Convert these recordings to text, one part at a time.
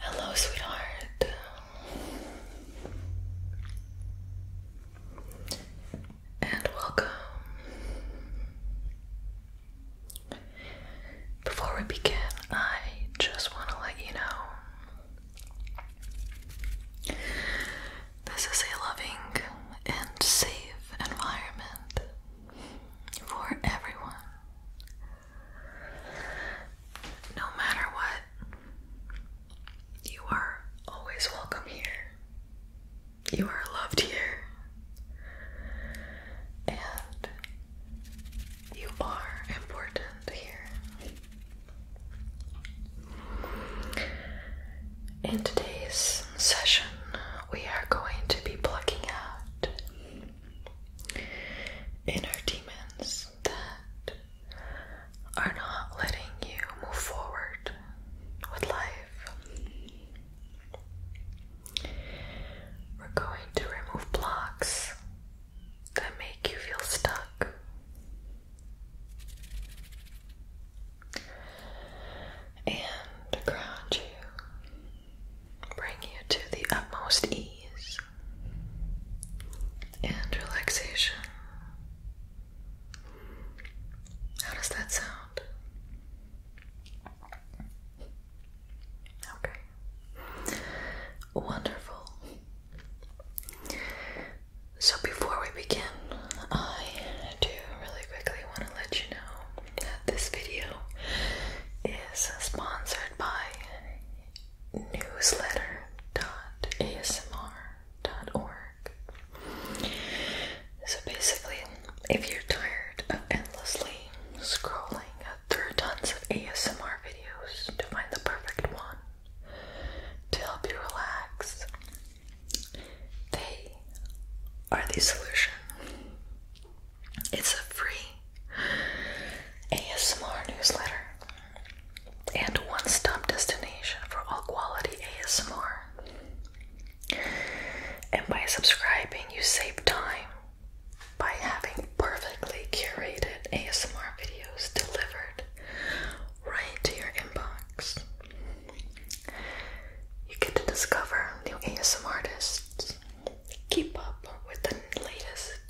Hello, sweetheart. And welcome. Before we begin, I just want to let you know this is a loving and safe environment for everyone. No matter what, you are always welcome here. You are loved here. And you are important here. In today's session, we are going to be plucking out inner demons that are not letting you move forward with life. We're going to remove blocks that make you feel stuck. And ground you, bring you to the utmost ease and relaxation. How does that sound? Okay. Wonderful. So before we begin, I do really quickly want to let you know that this video is sponsored by newsletter.asmr.org. So basically, if you're tired of endlessly scrolling through tons of ASMR videos to find the perfect one to help you relax, they are the solution. It's a free ASMR newsletter and one stop destination for all quality ASMR. And by subscribing, you save time by having perfectly curated ASMR videos delivered right to your inbox. You get to discover new ASM artists keep up with the latest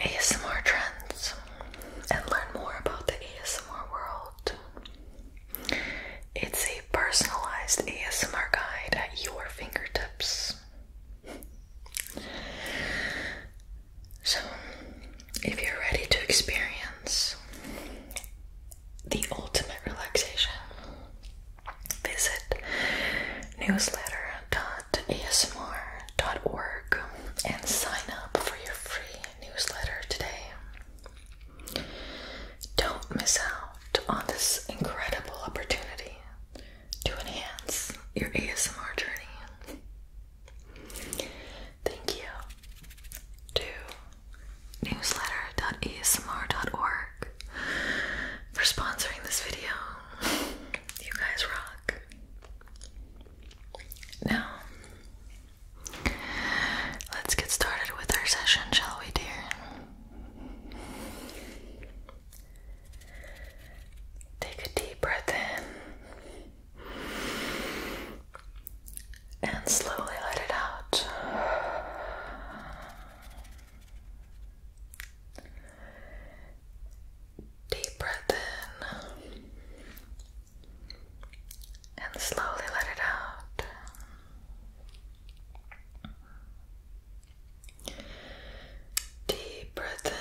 ASMR trends and learn more about the ASMR world. It's a personalized ASMR guide at your fingertips. So, if you're ready to experience the ultimate relaxation, visit newsletter.asmr.org and sign up for your free newsletter today. Don't miss out on this incredible opportunity to enhance your ASMR journey. Thank you to newsletter.asmr.org for sponsoring this video. You guys rock. Now, let's get started with our session, shall we, dear? Take a deep breath in and slowly let it out. Deep breath in and slowly let it out. Deep breath in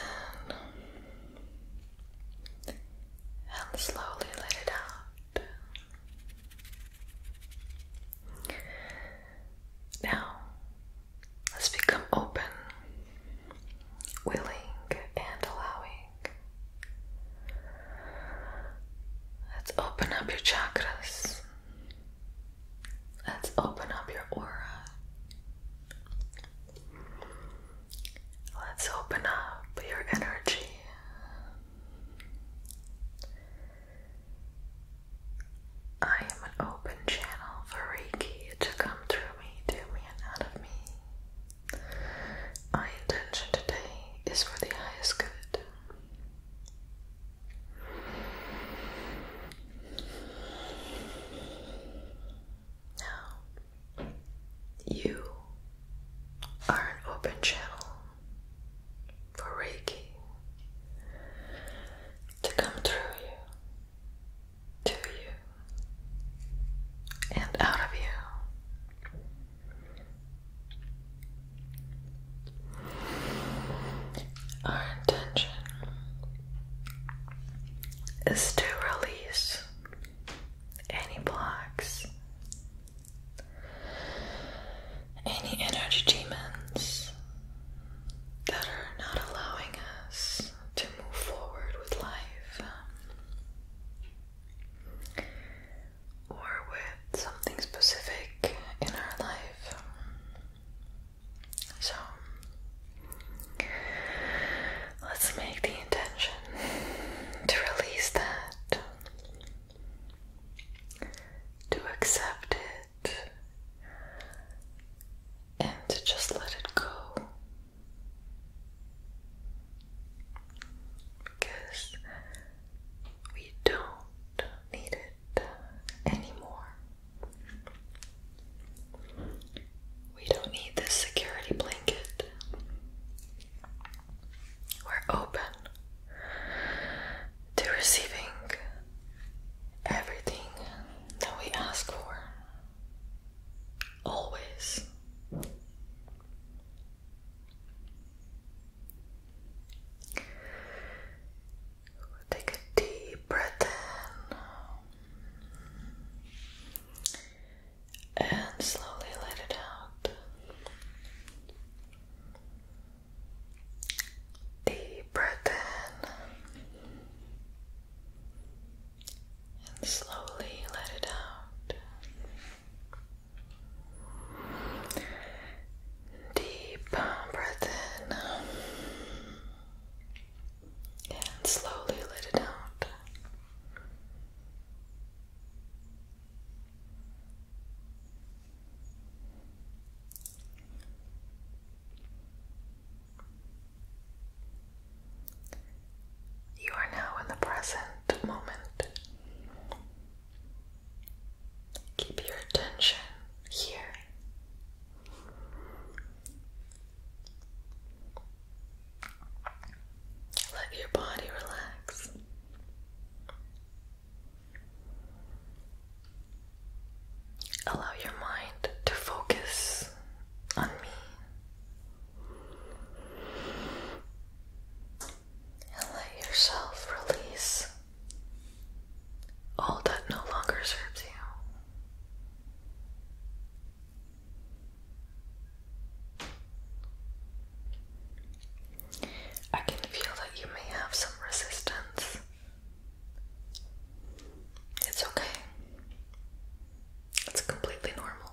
and slowly let it out. Now, Let's become open, willing, and allowing. Let's open up your chakras. Let's open up your aura. Let's open up your energy. I am an open channel for Reiki to come through me, to me, and out of me. My intention today is for the highest good. Now, you are an open channel for Reiki to come through you, to you, and out of you. Our intention is to release any blocks, any energy demons that are not allowing us to move forward with life um, or with something specific in our life. So, let's make the intention to release that, to accept it and just let it go because we don't need it anymore. We don't need this security blanket. We're open to receiving everything that we ask for. Always. Take a deep breath in and slowly let it out. Deep breath in and slowly let it out. Deep breath in and slowly let it out. You are now in the present moment. Keep your attention here. Let your body relax. Allow your mind to focus on me and let yourself release all that no longer serves you. I can feel that you may have some resistance it's okay. It's completely normal.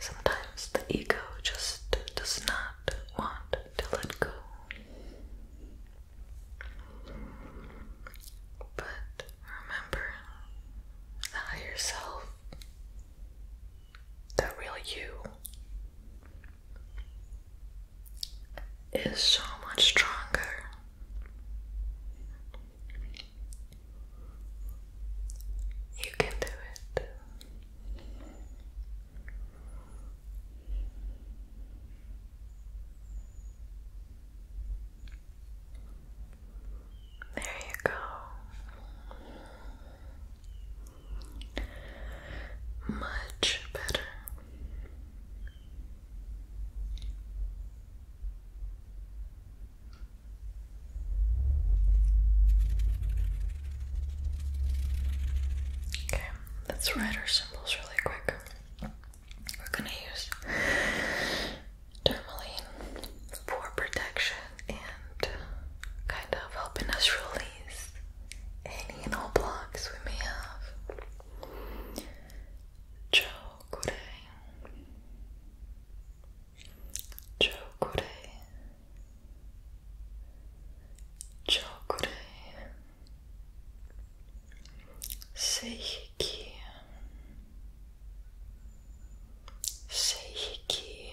Sometimes the ego just does not want to let go. But remember the higher self, real you, is so much stronger. You can do it. There you go. Much better. Okay, let's write our symbols really quick. We're gonna use tourmaline for protection and kind of helping us rule least any and all blocks we may have. Chokure. Chokure. Chokure. Seihiki. Seihiki.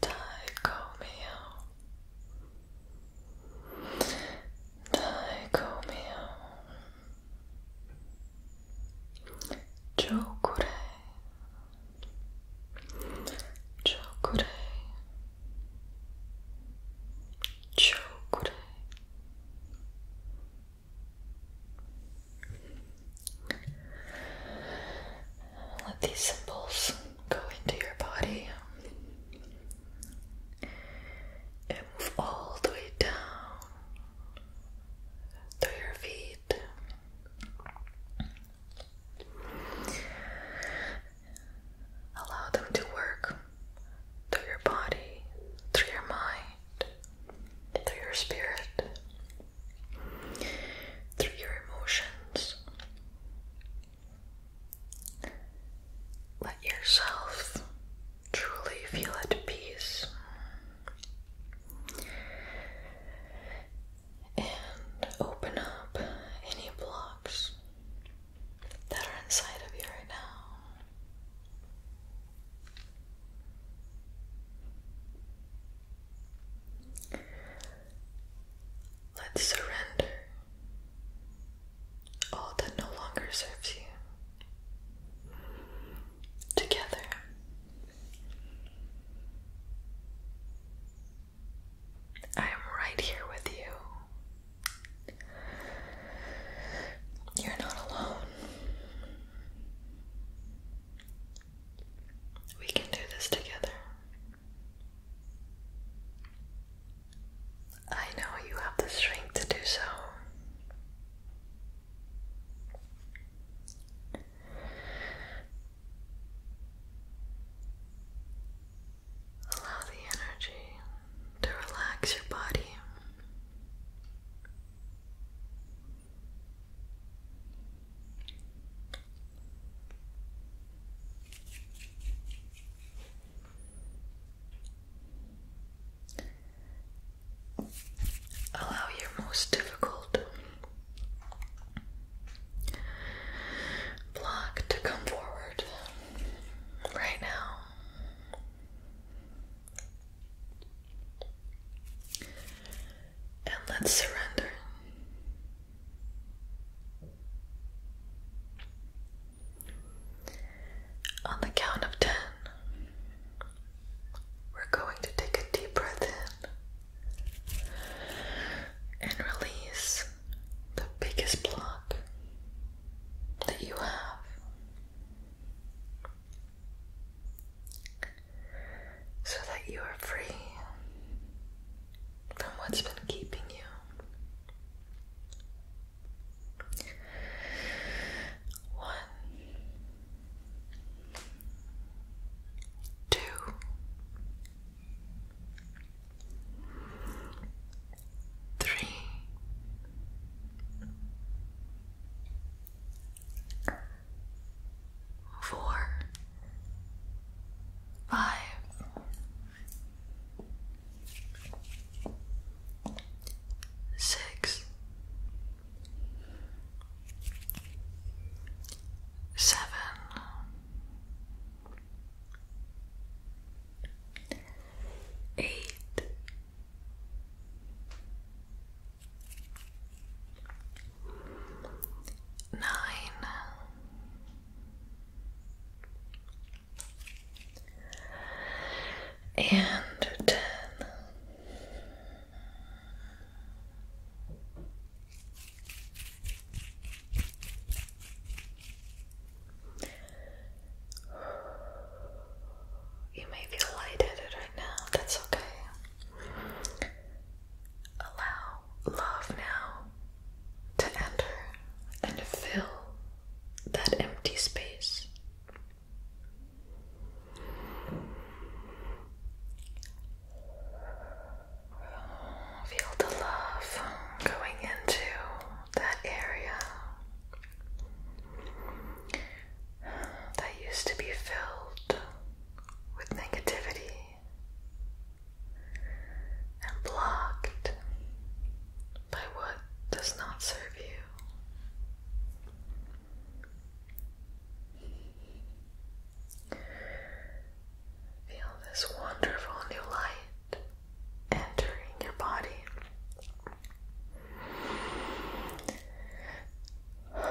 Dicomio Dicomio Jokure Jokure Jokure let these symbols go into your body and move all the way down through your feet. Allow them to work through your body, through your mind, through your spirit through your emotions. Let yourself truly feel at peace. And open up any blocks that are inside of you right now. Let's surrender all that no longer serves you. Together. I am right here with you. You're not alone. We can do this together. I know you have the strength to do so. Allow the energy to relax your body. Allow your most difficult block to come forward right now and let's surrender. On the count of ten, we're going to take a deep breath in and release the biggest block that you have so that you are free from what's been keeping you. One, two, three four, five, six, seven, eight nine, and ten. You may feel lightheaded right now, that's okay. Allow love now to enter and fill that empty space. Feel the love going into that area that used to be filled with negativity and blocked by what does not serve you. Feel this wonderful new light entering your body. Feel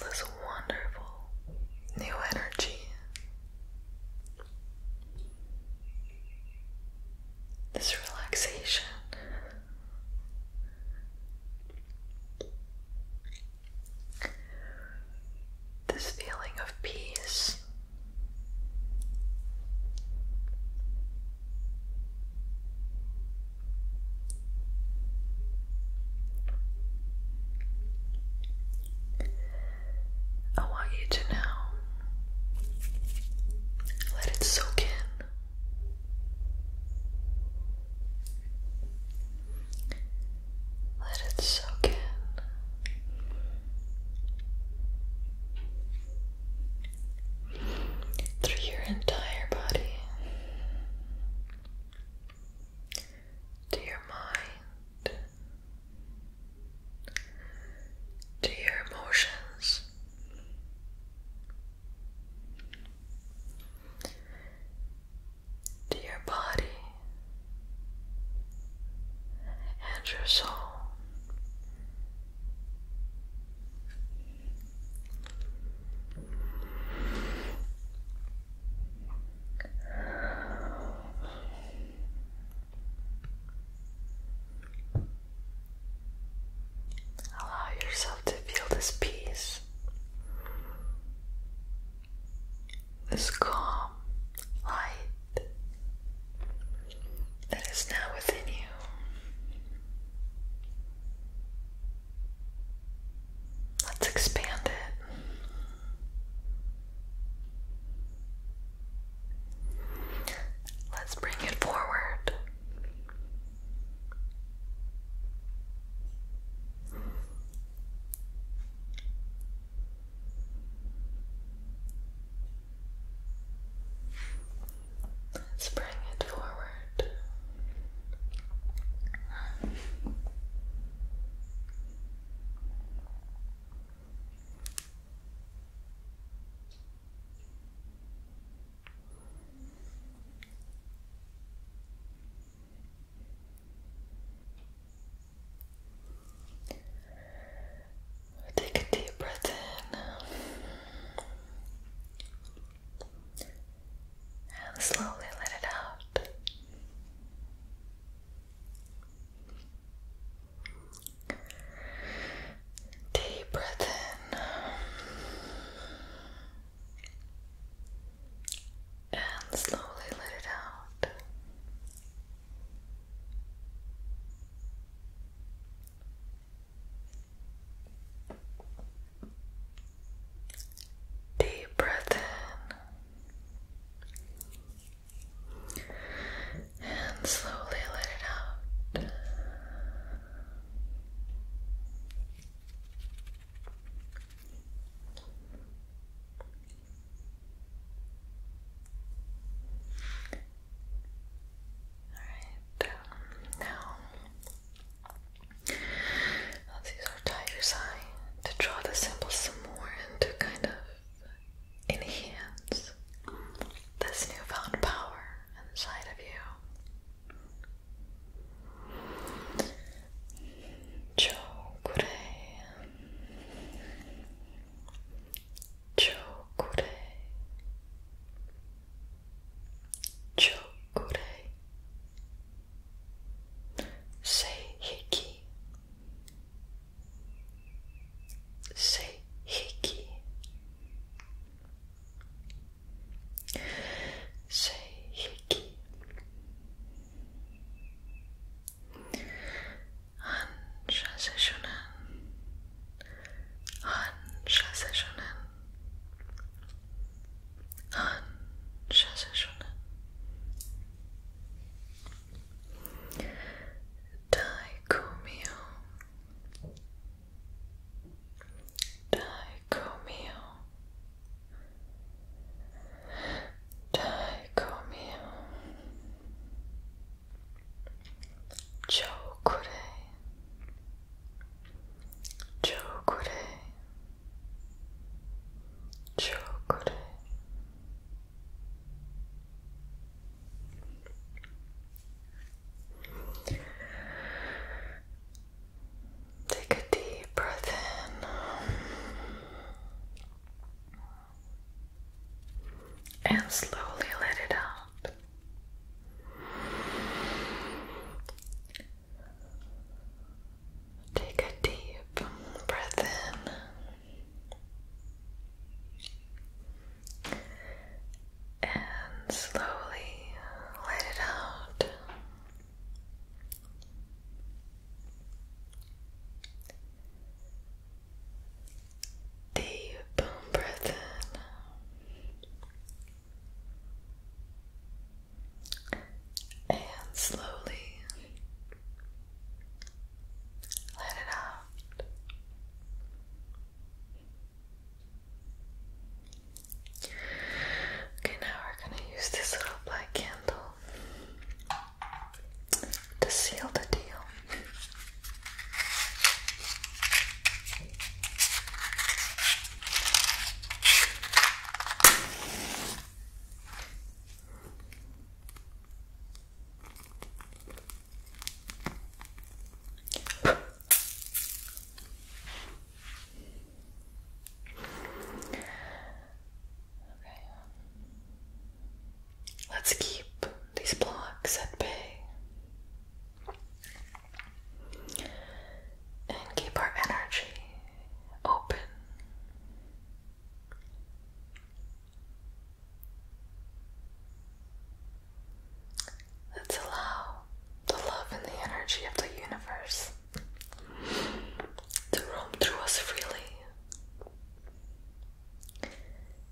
this wonderful new energy. This relaxation. This feeling of peace I want you to now let it soak in. Let it soak in through your entire body to your mind, to your emotions. To your body, and your soul. Allow yourself to feel this peace, this calm, light, that is now within you. Let's expand it. Let's bring it forward. Let's bring it forward. Take a deep breath in and slowly let it out. Deep breath in and slowly let it out. Deep breath in and slowly let it out. Alright, um, now let's use our tiger's eye to draw the symbol some more and to kind of enhance this newfound power inside of you. Chokure. Chokurei Chokurei Seihiki Seihiki Seihiki Ancha sessionen. Ancha sessionen. Ancha sessionen. Daikumio. Daikumio. Dai mio Chokure Chokure Chokure Take a deep breath in and slowly let it out. Take a deep breath in and slowly let it out. Deep breath in and slowly let it out. Okay, now we're going to use this little black candle to seal the deal. Okay. Let's keep these blocks at bay and keep our energy open. Let's allow the love and the energy of the universe to roam through us freely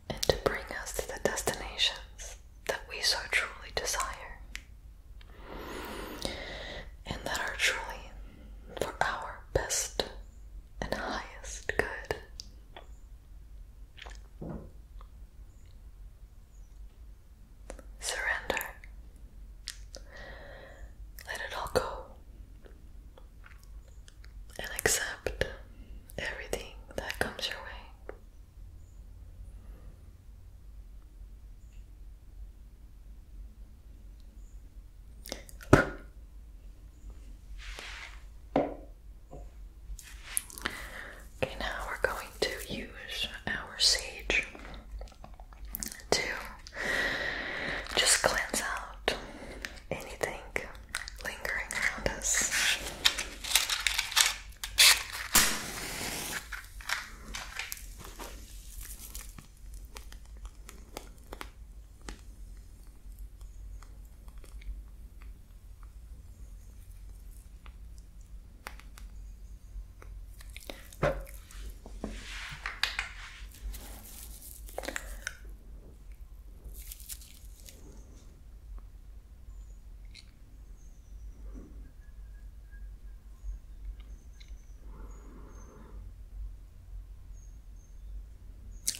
and to bring us to the destinations that we so truly desire and that are truly for our best and highest good. Surrender. Let it all go and accept everything that comes your way. Okay, now we're going to use our sage to just cleanse out anything lingering around us.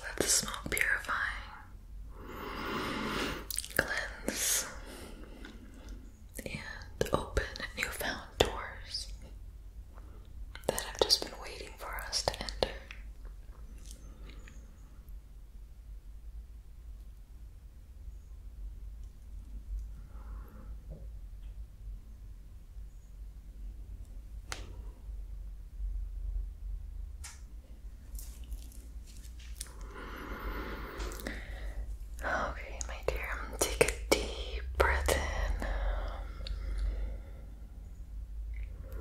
Let the smoke purify, cleanse, and open a new found doors that have just been waiting for us to enter. Okay, my dear, take a deep breath in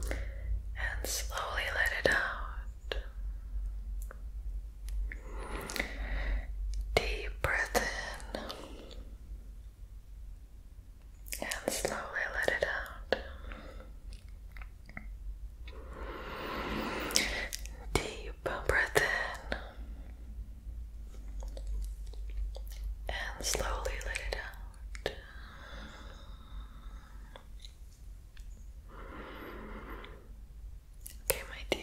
and slowly let it out. Deep breath in and slowly let it out. Deep breath in and slowly let it out. Okay, my dear,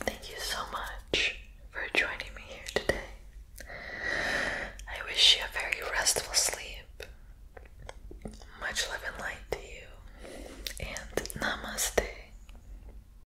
thank you so much for joining me here today. I wish you a very restful sleep. Much love and light to you, and namaste.